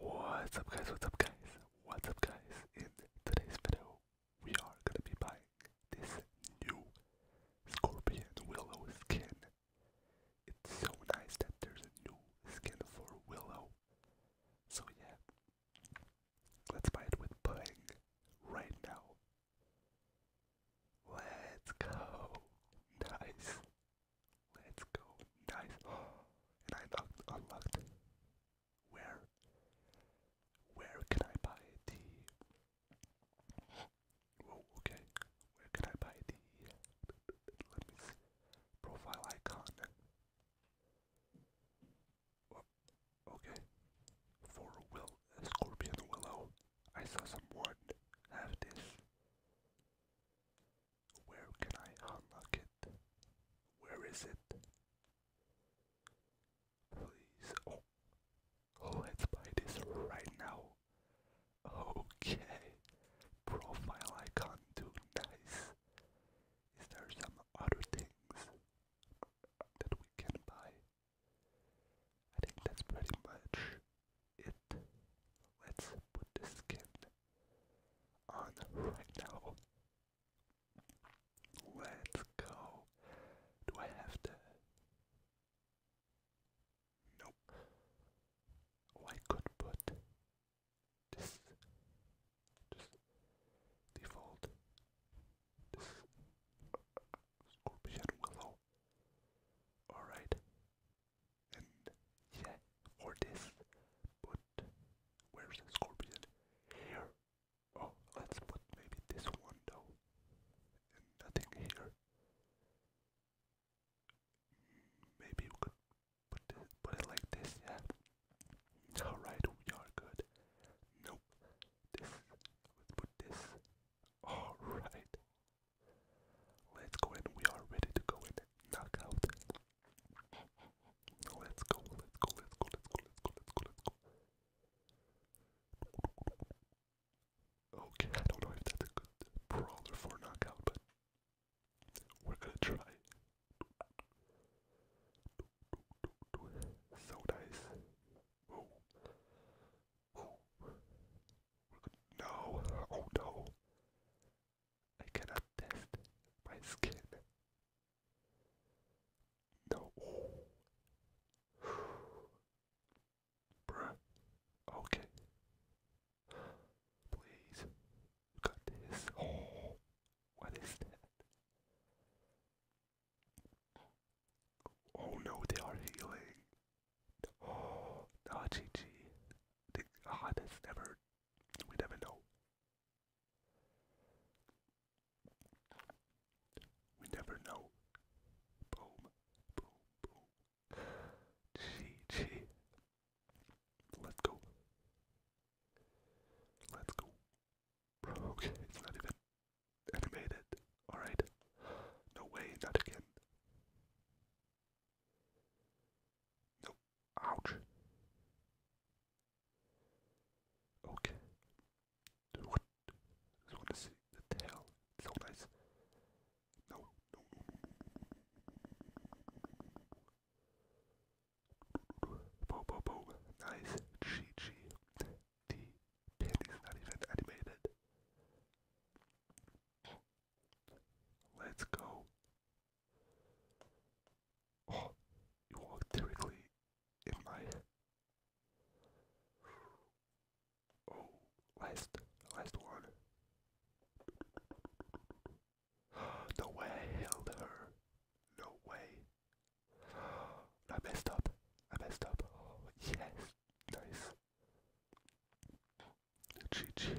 What's up guys, what's up guys, what's up guys, in today's video we are gonna be buying this new Scorpion Willow skin. It's so nice that there's a new skin for Willow. So yeah, let's buy it with buying right now. Let's go. Nice. Let's go. Nice. And I unlocked, Where? Where can I buy the... okay. Where can I buy the... Let me see. Profile icon. Oh, okay. For Will, Scorpion Willow. I saw someone have this. Where can I unlock it? Where is it? Please. Oh. Oh, let's buy this right now. Okay. Profile icon too nice. Is there some other things that we can buy? I think that's pretty much it. Let's put the skin on right now. Let's go. Do I have to? Nope. Oh, I could put this. Just default. This scorpion willow. Alright yeah, for this. But where's the scorpion? Here. Oh, let's put maybe this one though. And nothing here. Maybe we could put put it like this, yeah. Alright, we are good. Nope. This let's put this. Alright. Let's go in. We are ready to go in. Knock out Let's go, let's go, let's go, let's go, let's go, let's go, let's go. Okay, I don't know if that's good brawler for knockout, but we're gonna try. So nice. No. Oh no. I cannot test my skin. No. Bruh. Okay. Please. got this. What is that? Oh no, they are healing. Oh, no, GG. The, ah, oh, never we never know. We never know. Boom, boom, boom. GG. Let's go. Let's go. okay, it's not even animated. Alright. No way, not again. Nope. Ouch. Okay. Do what? want to see the tail. so nice. No, no, no. Bo, bo, bo. Nice. GG. The pin not even animated. Let's go. Oh, you walk directly in my. Oh, last, last one. No way I held her. No way. I messed up. I messed up. yes. Nice. GG.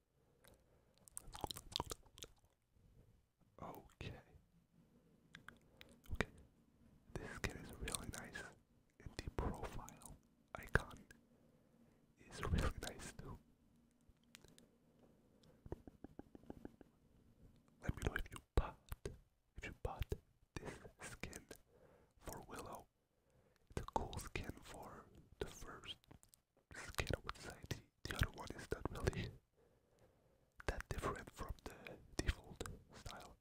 Okay. Okay. This skin is really nice. And the profile icon is really nice too. Let me know if you bought if you bought this skin for Willow the cool skin for the first skin I would say. The, other one is not really that different from the default style.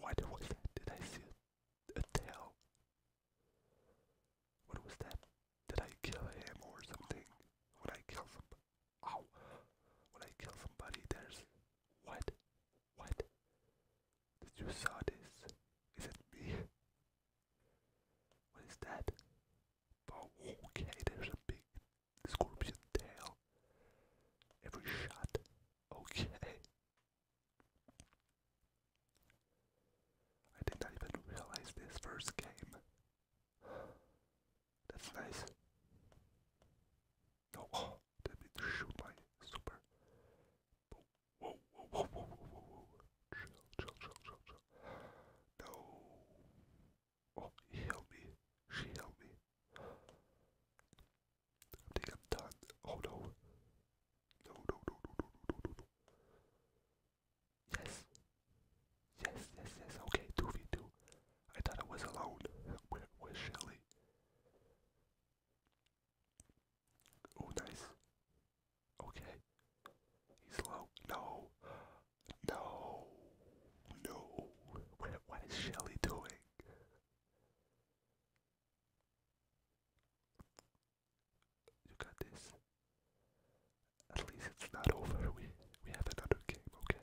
What was that? Did I see a tail? What was that? Did I kill him or something? When I kill somebody, ow! When I kill somebody, there's what? What? Did you saw this? Is it me? What is that? okay, there's a big scorpion tail. Every shot. Okay. I did not even realize this first game. That's nice. No, oh, let me my super. Whoa, whoa, whoa, whoa, whoa, whoa, Chill, chill, chill, chill, chill. No. Oh, he held me. She held me. I think I'm done. Oh no. No, no, no, no, no, no, no, no. Yes. Yes, yes, yes. Okay, 2v2. I thought I was alone. Where was Shelly? Oh, nice. Okay. He's low. No. No. No. what is Shelly doing? You got this. At least it's not over. We we have another game, okay?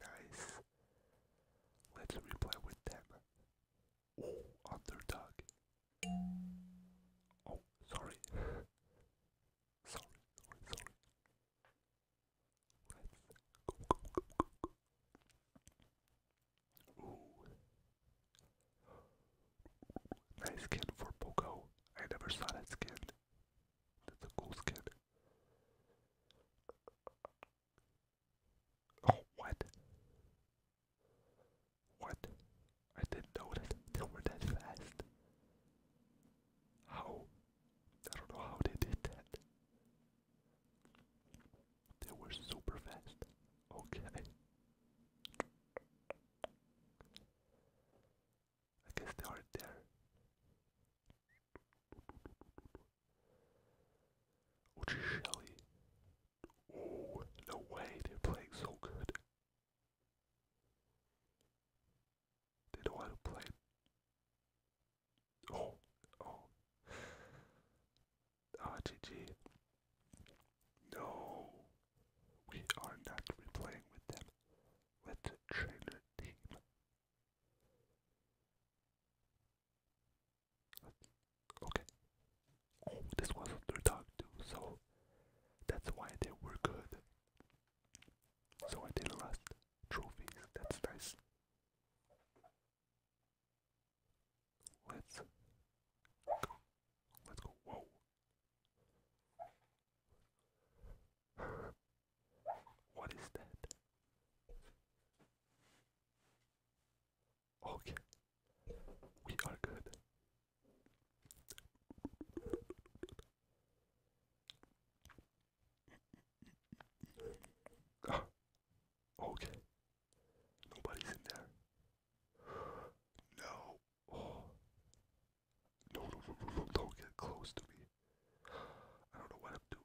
Nice. Let's replay with them. Oh, underdog. Oh, sorry. sorry, sorry, sorry. Nice skin for Poco. I never saw that skin. That's a cool skin. Oh, what? What? I didn't know that they were that fast. How? I don't know how they did that. They were super fast. Okay. I guess they are there. Or just Shelley. Oh, no way, they're playing so good. They know how to play. Oh, oh. Ah, oh, No, we are not replaying with them. Let's change the team. Okay. Oh, this was their dog too, so that's why they were good. So I did lost trophies, that's nice. Let's go. Let's go. Whoa. what is that? Okay, we are good. Ah. okay, nobody's in there. no, no, no, no, don't get close to me. I don't know what I'm doing.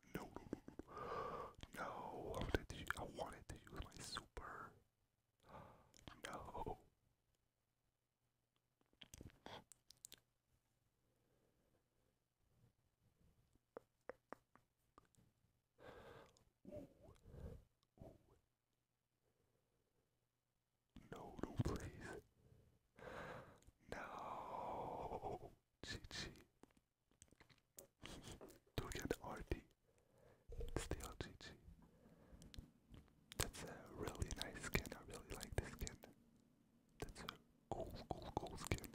no, no, no, no. I, wanted to, I wanted to use my super. No. No, please. No. Chi Chi to get RT. Still GG. That's a really nice skin. I really like this skin. That's a cool, cool, cool skin.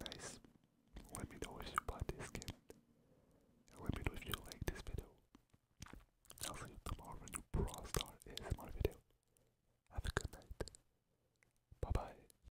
Nice. Let me know if you bought this skin. let me know if you like this video. I'll see you tomorrow for a new Brawl Star ASMR video. Have a good night. Bye bye.